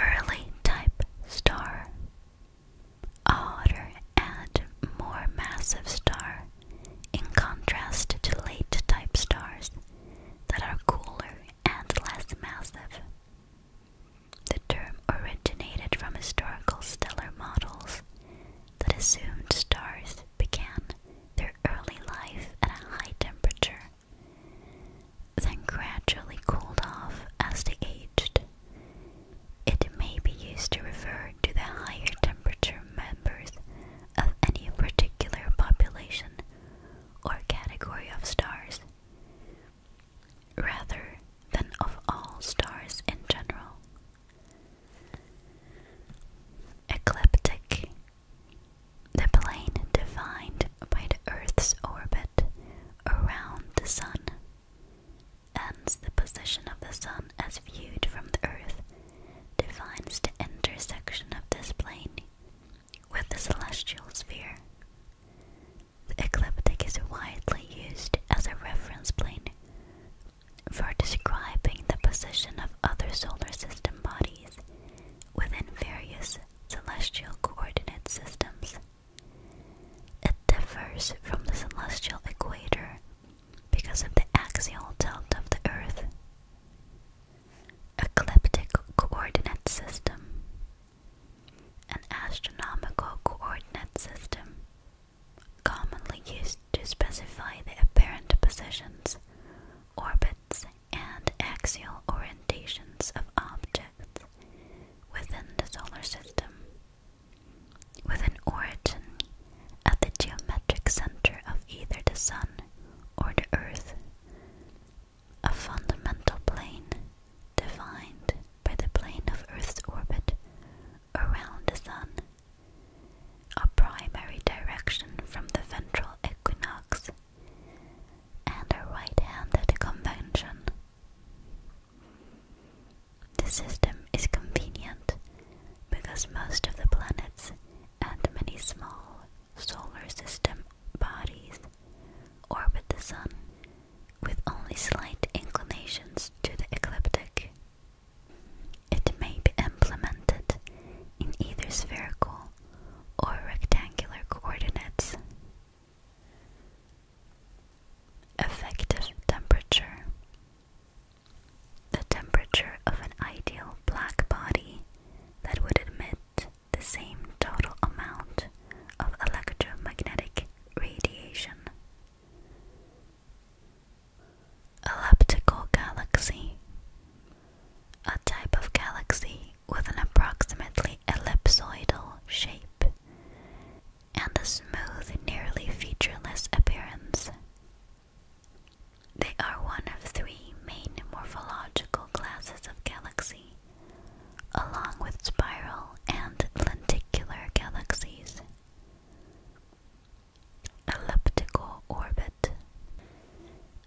Early type star, odder and more massive star, in contrast to late type stars that are cooler and less massive. The term originated from historical stellar models that assumed stars began their early life at a high temperature then gradually cooled off as they aged. It may be used to refer to the higher temperature members of any particular population or category of stars, rather than of all stars in general. Ecliptic the plane defined by the Earth's orbit around the Sun and the position of the Sun as viewed from the Earth defines the intersection of this plane with the celestial sphere. The ecliptic is widely used as a reference plane for describing the position of other solar system bodies within various celestial coordinate systems. It differs from the celestial equator because of the axial tilt of the Earth. Ecliptic coordinate system. An astronomical coordinate system, commonly used to specify the apparent positions orbits, and axial orientations of objects within the solar system, with an origin at the geometric center of either the Sun or the Earth, a fundamental plane defined by the plane of Earth's orbit around the Sun, a primary direction from the ventral equinox and right hand convention. The system is convenient because most of the planets and many small solar system bodies orbit the Sun with only slight inclinations to the ecliptic. It may be implemented in either spherical or rectangular coordinates. Effective temperature. The temperature of an ideal black body that would emit the same total amount of electromagnetic radiation. Elliptical galaxy. A type of galaxy with an approximately ellipsoidal shape and a smooth, nearly featureless appearance. They are one of three main morphological classes of galaxy, along with spiral and lenticular galaxies. Elliptical orbit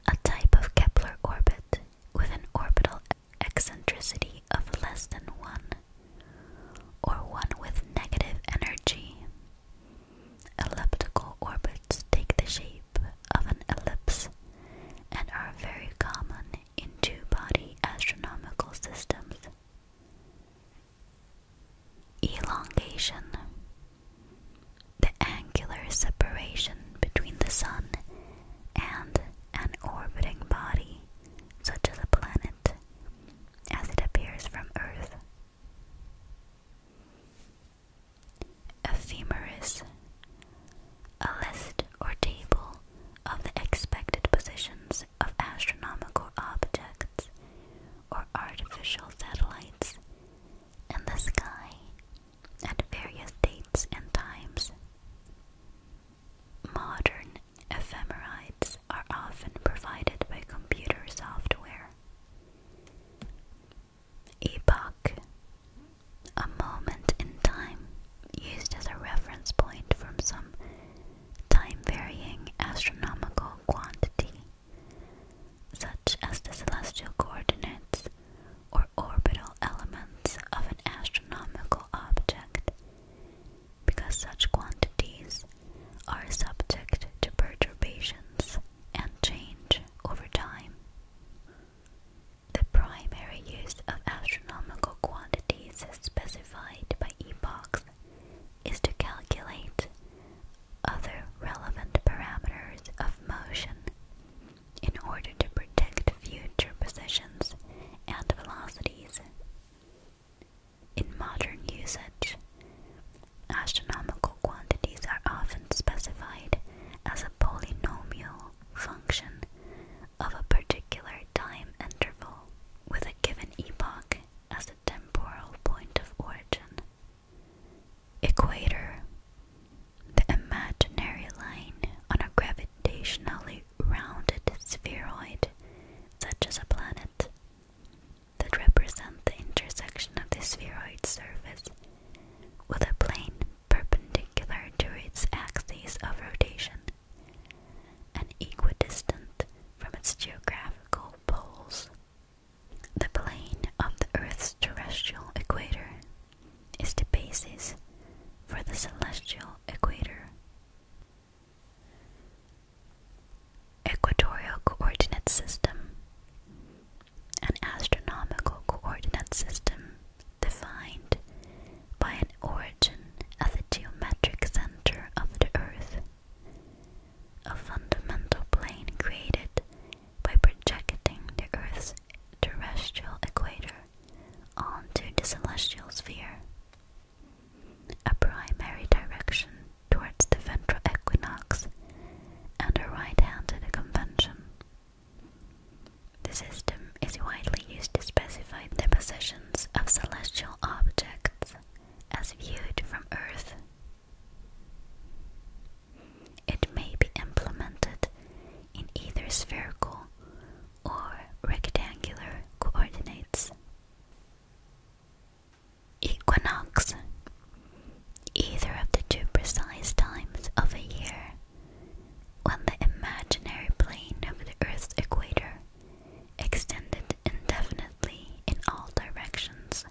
a type of Kepler orbit with an orbital eccentricity of less than 1, or one with negative energy. Elliptical orbits take the shape of an ellipse and are very common in two body astronomical systems. Elongation the angular separation between the Sun and an orbiting body, such as a planet, as it appears from Earth. Ephemeris A list or table of the expected positions of astronomical objects or artificial satellites in the sky at various dates and times. Modern ephemerides are often provided by computer software. Epoch, a moment in time used as a reference point from some time varying astronomical quantity, such as the celestial coordinates or orbital elements of an astronomical object, because such quantities are subject to perturbations and change over time. The primary use of astronomical quantities specified by epochs is to calculate other relevant parameters of motion in order to protect future positions and velocities. In modern usage, astronomical quantities are often specified as a polynomial function of a particular time interval with a given epoch as a temporal point of origin. Equator, the imaginary line on a gravitationally rounded spheroid, such as a planet, that represents the intersection of the spheroid's surface with a plane perpendicular to its axis of rotation and equidistant from its geographical poles. The plane of the Earth's terrestrial equator is the basis for the celestial equator. Equatorial coordinate system. An astronomical coordinate system defined by an origin at the geometric center of the Earth, a fundamental plane created by projecting the Earth's terrestrial equator onto the celestial sphere. A primary direction towards the ventral equinox and a right hand convention. The system is widely used to specify the positions of celestial objects as viewed from Earth. It may be implemented in either spherical or rectangular coordinates. Equinox Either of the two precise times of a year when the imaginary plane of the Earth's equator extended indefinitely in all directions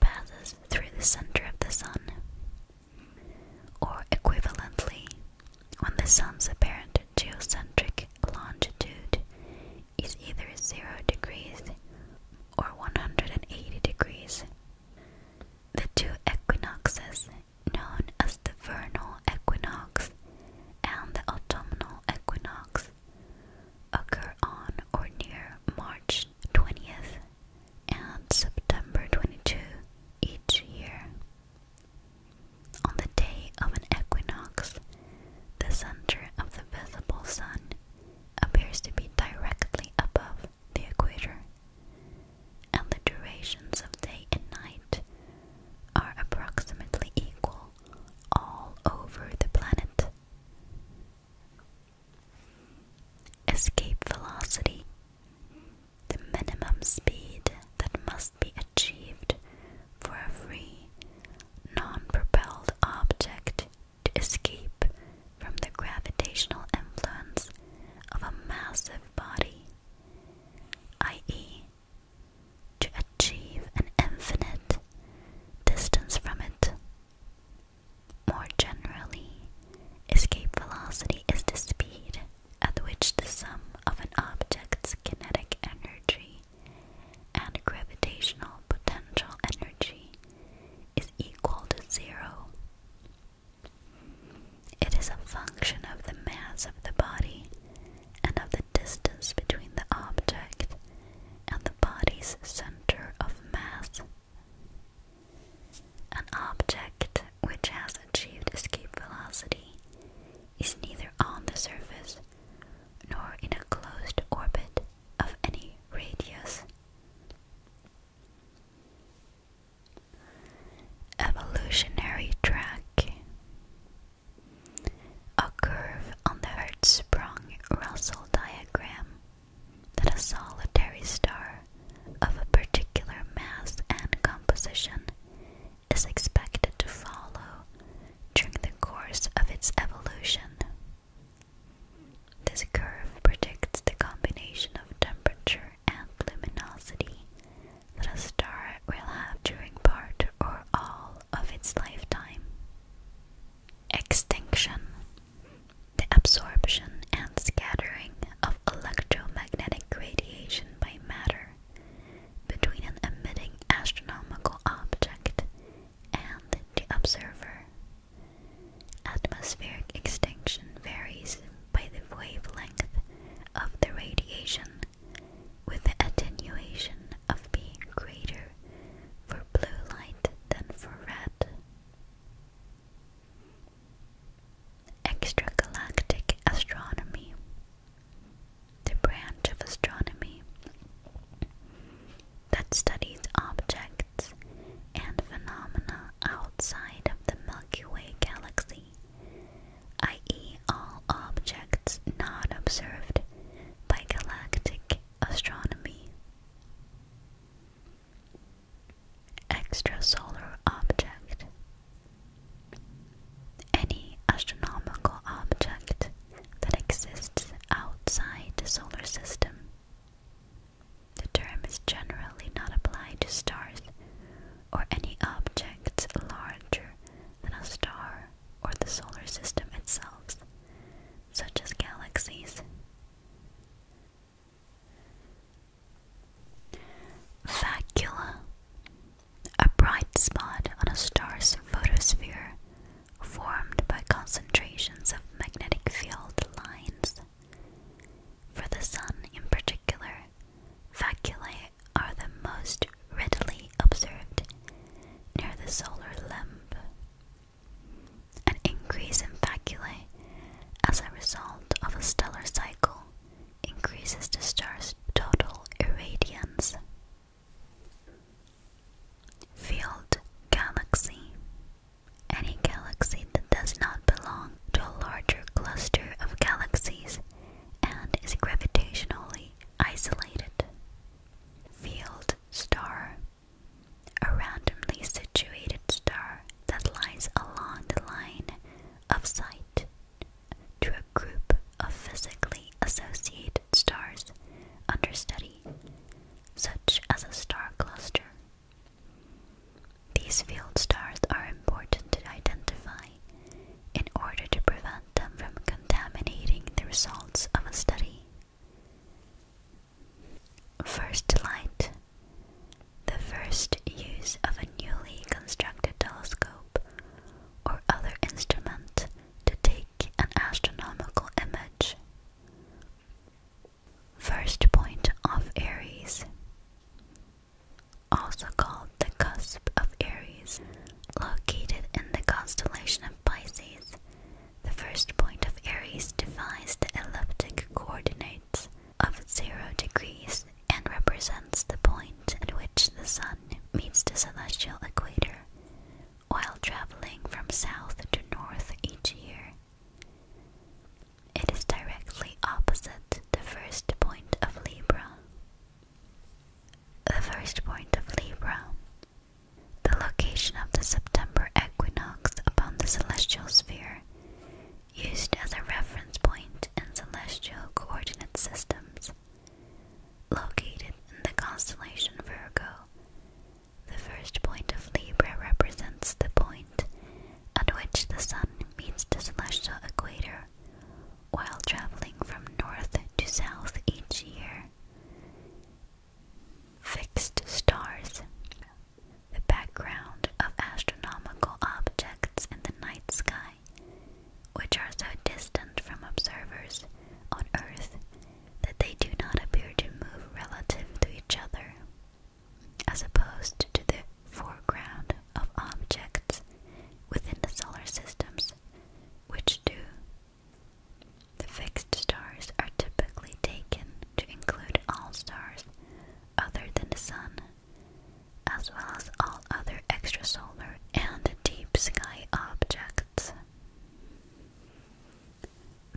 passes through the center of the Sun. Or equivalently, when the Sun's apparent geocentric longitude is either 0 degrees or 180 degrees. The two equinoxes, known as the vernal equinox and the autumnal equinox, occur on or near March 20th and September 22 each year. On the day of an equinox, the center of the visible sun appears to be directly above the equator, and the durations of day and night are approximately equal all over the planet. Escape velocity, the minimum speed that must be achieved for a free, non propelled object to escape from the gravitational influence of a massive body, i.e., to achieve an infinite distance from it. More generally, escape velocity is the speed at which the sum of an object's kinetic energy and gravitational potential energy is equal to zero. It is a function of the mass of the body and of the distance between the object and the body's center of mass. An object which has achieved escape velocity is neither on the surface nor in a closed orbit of any radius. Evolutionary track A curve on the Hertzsprung Russell diagram that a solitary star of a particular mass and composition is expected to follow during the course of its evolution. This curve predicts the combination of temperature and luminosity that a star will have during part or all of its lifetime. Extinction the absorption and scattering of electromagnetic radiation by matter between an emitting astronomical object and the observer. Atmospheric extinction varies by the wavelength of the radiation, with the attenuation of being greater for blue light than for red. Extragalactic astronomy, the branch of astronomy that studies objects and phenomena outside of the Milky Way galaxy, i.e., all objects not observed by galactic astronomy. Extrasolar object. Any astronomical object that exists outside the solar system. The term is generally not applied to stars or any objects larger than a star or the solar system itself, such as galaxies, Facula, a bright spot on a star's photosphere formed by concentrations of magnetic field lines. For the Sun in particular, faculae are the most readily observed near the solar limb. An increase in faculae as a result of a stellar cycle increases the star's total irradiance. Field galaxy. Any galaxy that does not belong to a larger cluster of galaxies and is gravitationally isolated. Field star a randomly situated star that lies along the line of sight to a group of physically associated stars under study, such as a star cluster. These field stars are important to identify in order to prevent them from contaminating the results of a study. First light. The first use of a newly constructed telescope or other instrument to take an astronomical image. First point of Aries, also called the cusp of Aries, located in the constellation of Pisces, the first point of Aries defines the elliptic coordinates of 0 degrees and represents the point at which the Sun meets the celestial equator while traveling from south to north each year. It is directly opposite the first point of Libra. The first point of Libra the location of the September equinox upon the celestial sphere, used as a reference point in celestial coordinate systems, located in the constellation Virgo. The first point of Libra represents the point at which the Sun meets the celestial equator while traveling from north to south each year. Fixed stars. The background of astronomical objects in the night sky, which are so distant from observers on Earth that they do not appear to move relative to each other, as opposed to the foreground of objects within the solar systems, which do the fixed stars are typically taken to include all stars other than the Sun, as well as all other extrasolar and deep sky objects.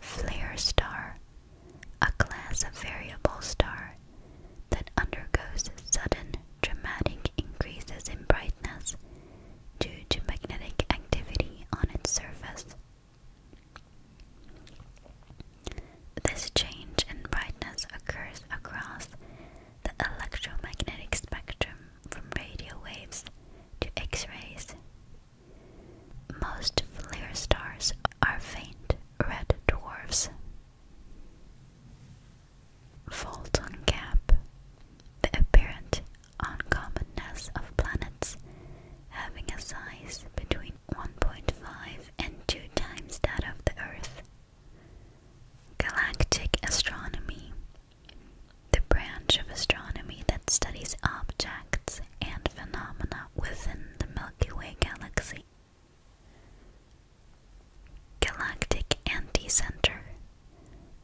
Flare star, a class of variable star that undergoes sudden dramatic increases in brightness due to magnetic activity on its surface. This change in brightness occurs across the electromagnetic spectrum from radio waves to X rays. Most flare stars are faint red dwarfs. Photon gap. The apparent uncommonness of planets having a size between 1.5 and 2 times that of the Earth. Galactic astronomy, the branch of astronomy that studies objects and phenomena within the Milky Way galaxy. Galactic Anti Center,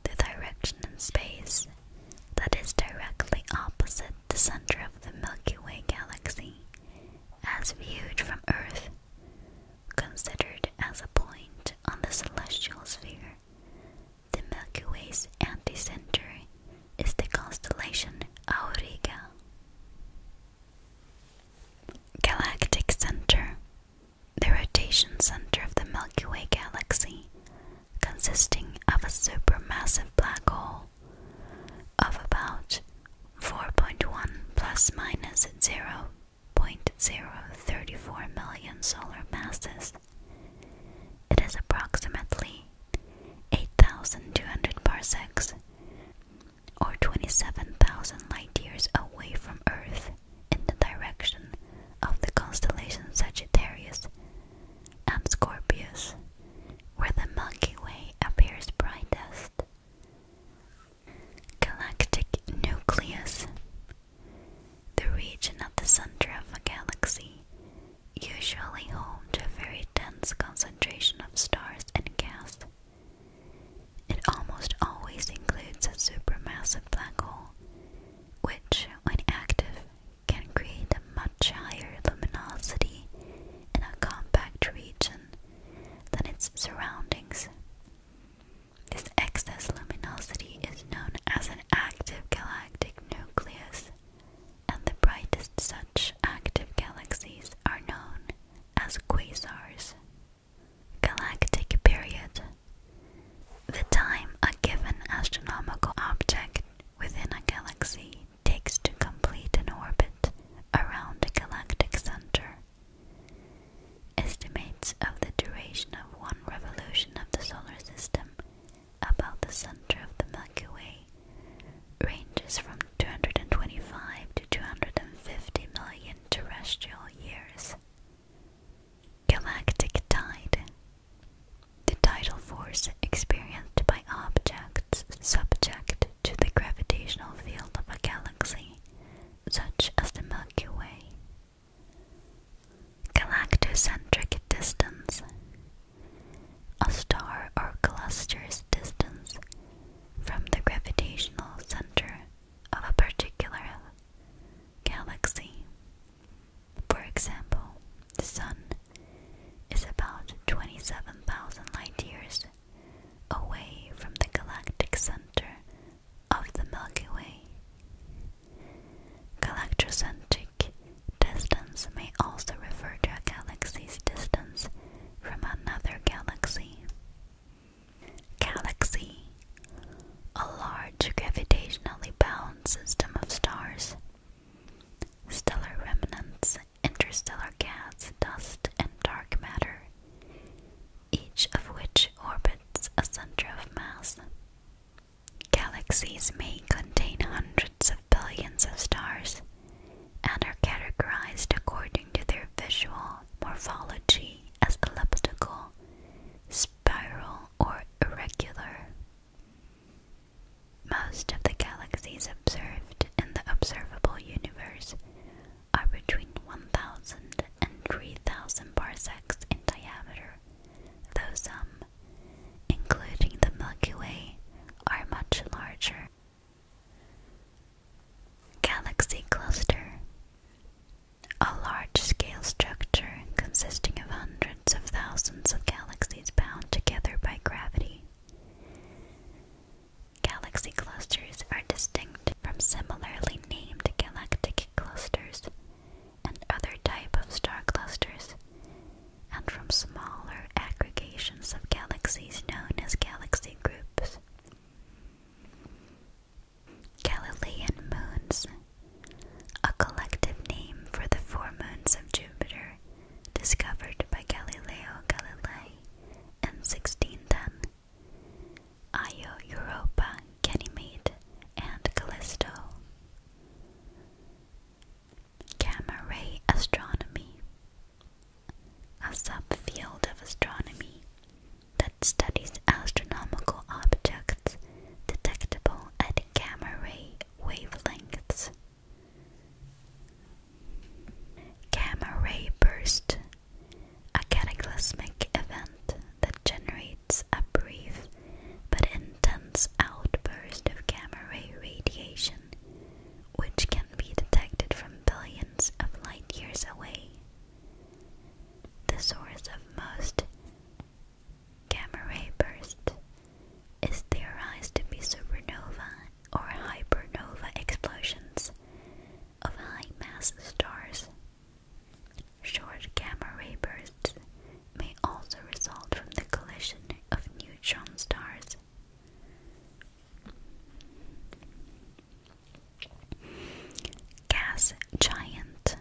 the direction in space that is directly opposite the center of the Milky Way galaxy, as viewed from Earth, considered as a point on the celestial sphere. The Milky Way's anticenter is the constellation Auriga. Galactic Center The rotation center of the Milky Way galaxy consisting of a supermassive black hole of about 4.1 plus minus 0.034 million solar masses. It is approximately 8,200 parsecs or 27,000 light years away from Earth in the direction of the constellation Sagittarius and Scorpius, where the Milky Way appears brightest. Galactic nucleus, the region at the center of a galaxy, usually home to a very dense concentration of stars and gas. It almost always includes a supermassive black hole, which, when active, can create a much higher luminosity in a compact region than its surroundings. This excess luminosity is known as an active galactic nucleus, and the brightest such active galaxies are known as quasars. Galactic period the time a given astronomical object within a galaxy takes to complete an orbit around the galactic center. Estimates of the duration of one revolution of the solar system about the center of the Milky Way ranges from 225 to 250 million terrestrial years. Galactic Tide. The tidal force experienced by objects subject to the gravitational field of a galaxy, such as the Milky Way. Galactocentric distance. A star or cluster's distance from the gravitational center of a particular galaxy for example, the Sun is about 27,000 light years away from the galactic center of the Milky Way. Galactocentric distance may also refer to a galaxy's distance from another galaxy. Galaxy, a large gravitationally bound system of stars. Stellar remnants, interstellar gas, dust, and dark matter, each of which orbits a center of mass. Galaxies may contain hundreds of billions of stars and are categorized according to their visual morphology as elliptical, spiral, or irregular. Most of the galaxies observed in the observable universe are between 1,000 and 3,000 parsecs in diameter, though some, including the Milky Way, are much larger. Galaxy Cluster a large-scale structure consisting of hundreds of thousands of galaxies bound together by gravity. Galaxy clusters are distinct from similarly named galactic clusters and other type of star clusters, and from smaller aggregations of galaxies known as galaxy groups. Galilean moons a collective name for the four moons of Jupiter discovered by Galileo Galilei in 1610. Io, Europa, Ganymede, and Callisto. Gamma astronomy, a subfield of astronomy that studies astronomical objects detectable at gamma ray wavelengths. Gamma ray burst, a cataclysmic event that generates a brief but intense outburst of gamma ray radiation, which can be detected from billions of light years away. The source of most Gamma ray burst is theorized to be supernova or hypernova explosions of high mass stars. Short gamma ray bursts may also result from the collision of neutron stars. Gas giant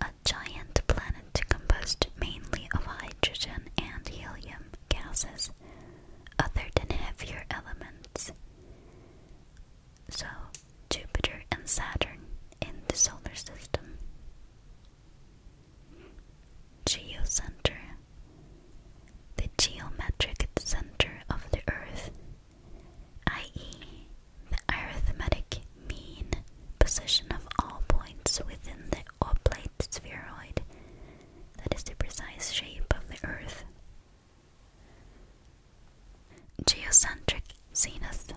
a giant planet composed mainly of hydrogen and helium gases, other than heavier elements. So, Jupiter and Saturn in the solar system. Geocenter. The geometric center of the Earth i.e., the arithmetic mean position of all points within the oblate spheroid, that is the precise shape of the Earth. Geocentric zenith,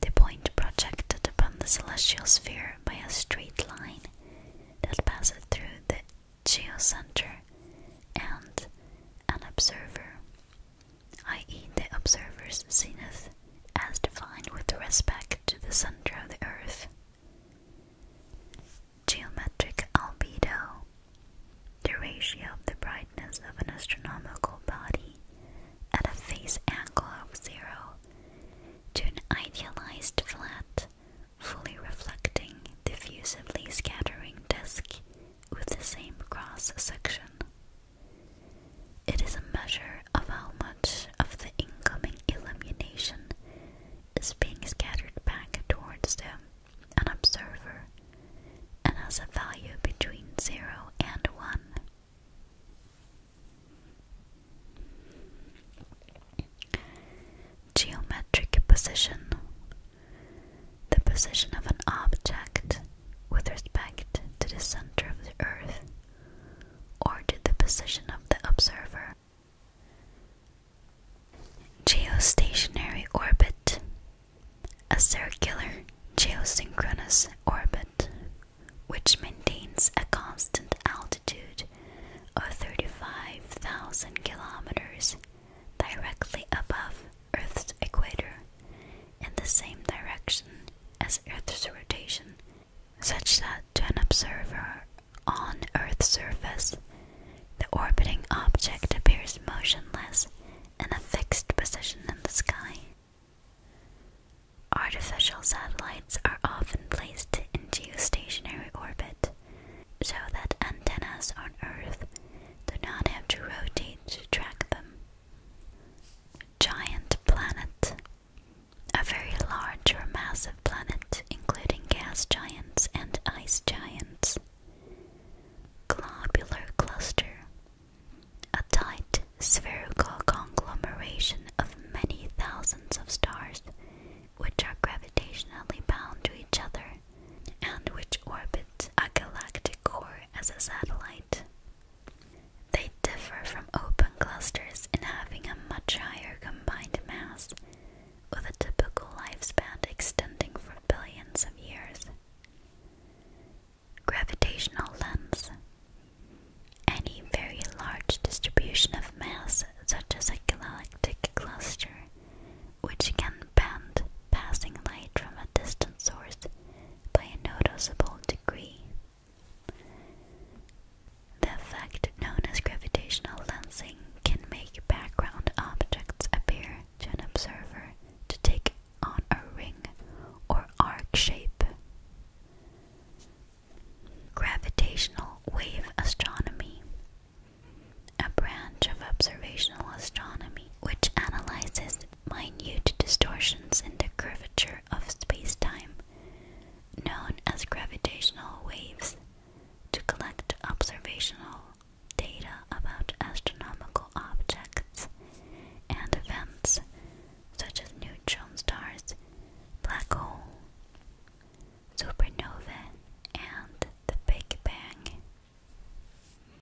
the point projected upon the celestial sphere by a straight line that passes through the geocenter and an observer i.e., the observer's zenith, as defined with respect to the center of the Earth. Geometric albedo, the ratio of the brightness of an astronomical body at a phase angle of zero to an idealized flat, fully reflecting, diffusively scattering disk with the same cross section. It is a measure of how much of the incoming illumination is being scattered back towards them, an observer, and has a value between 0 and 1. Geometric position the position of an object with respect to the center of the earth or to the position of the observer. Geostationary orbit a circular geosynchronous orbit which maintains a constant altitude of 35,000 kilometers directly above Earth's equator in the same direction as Earth's rotation, such that to an observer on Earth's surface, the orbiting object appears motionless in a fixed position in the sky. Artificial satellites are often placed in geostationary orbit so that antennas on Earth do not have to rotate to track them. Giant planet. A very large or massive planet, including gas giants and ice giants. Globular cluster. A tight spherical conglomeration of many thousands of stars, which are gravitationally bound to each other and which orbit a galactic core as a satellite. They differ from open clusters in having a much higher combined mass, with a typical lifespan extending for billions of years. Gravitational lens. Any very large distribution of mass, such as a galactic cluster, which can bend passing light from a distant source by a noticeable degree. The effect known as gravitational lensing can make background objects appear to an observer to take on a ring or arc shape. Gravitational wave astronomy, a branch of observational astronomy which analyzes minute distortions in the curvature of space-time, known as gravitational waves, to collect observational data about astronomical objects and events such as neutron stars, black holes, supernovae, and the Big Bang.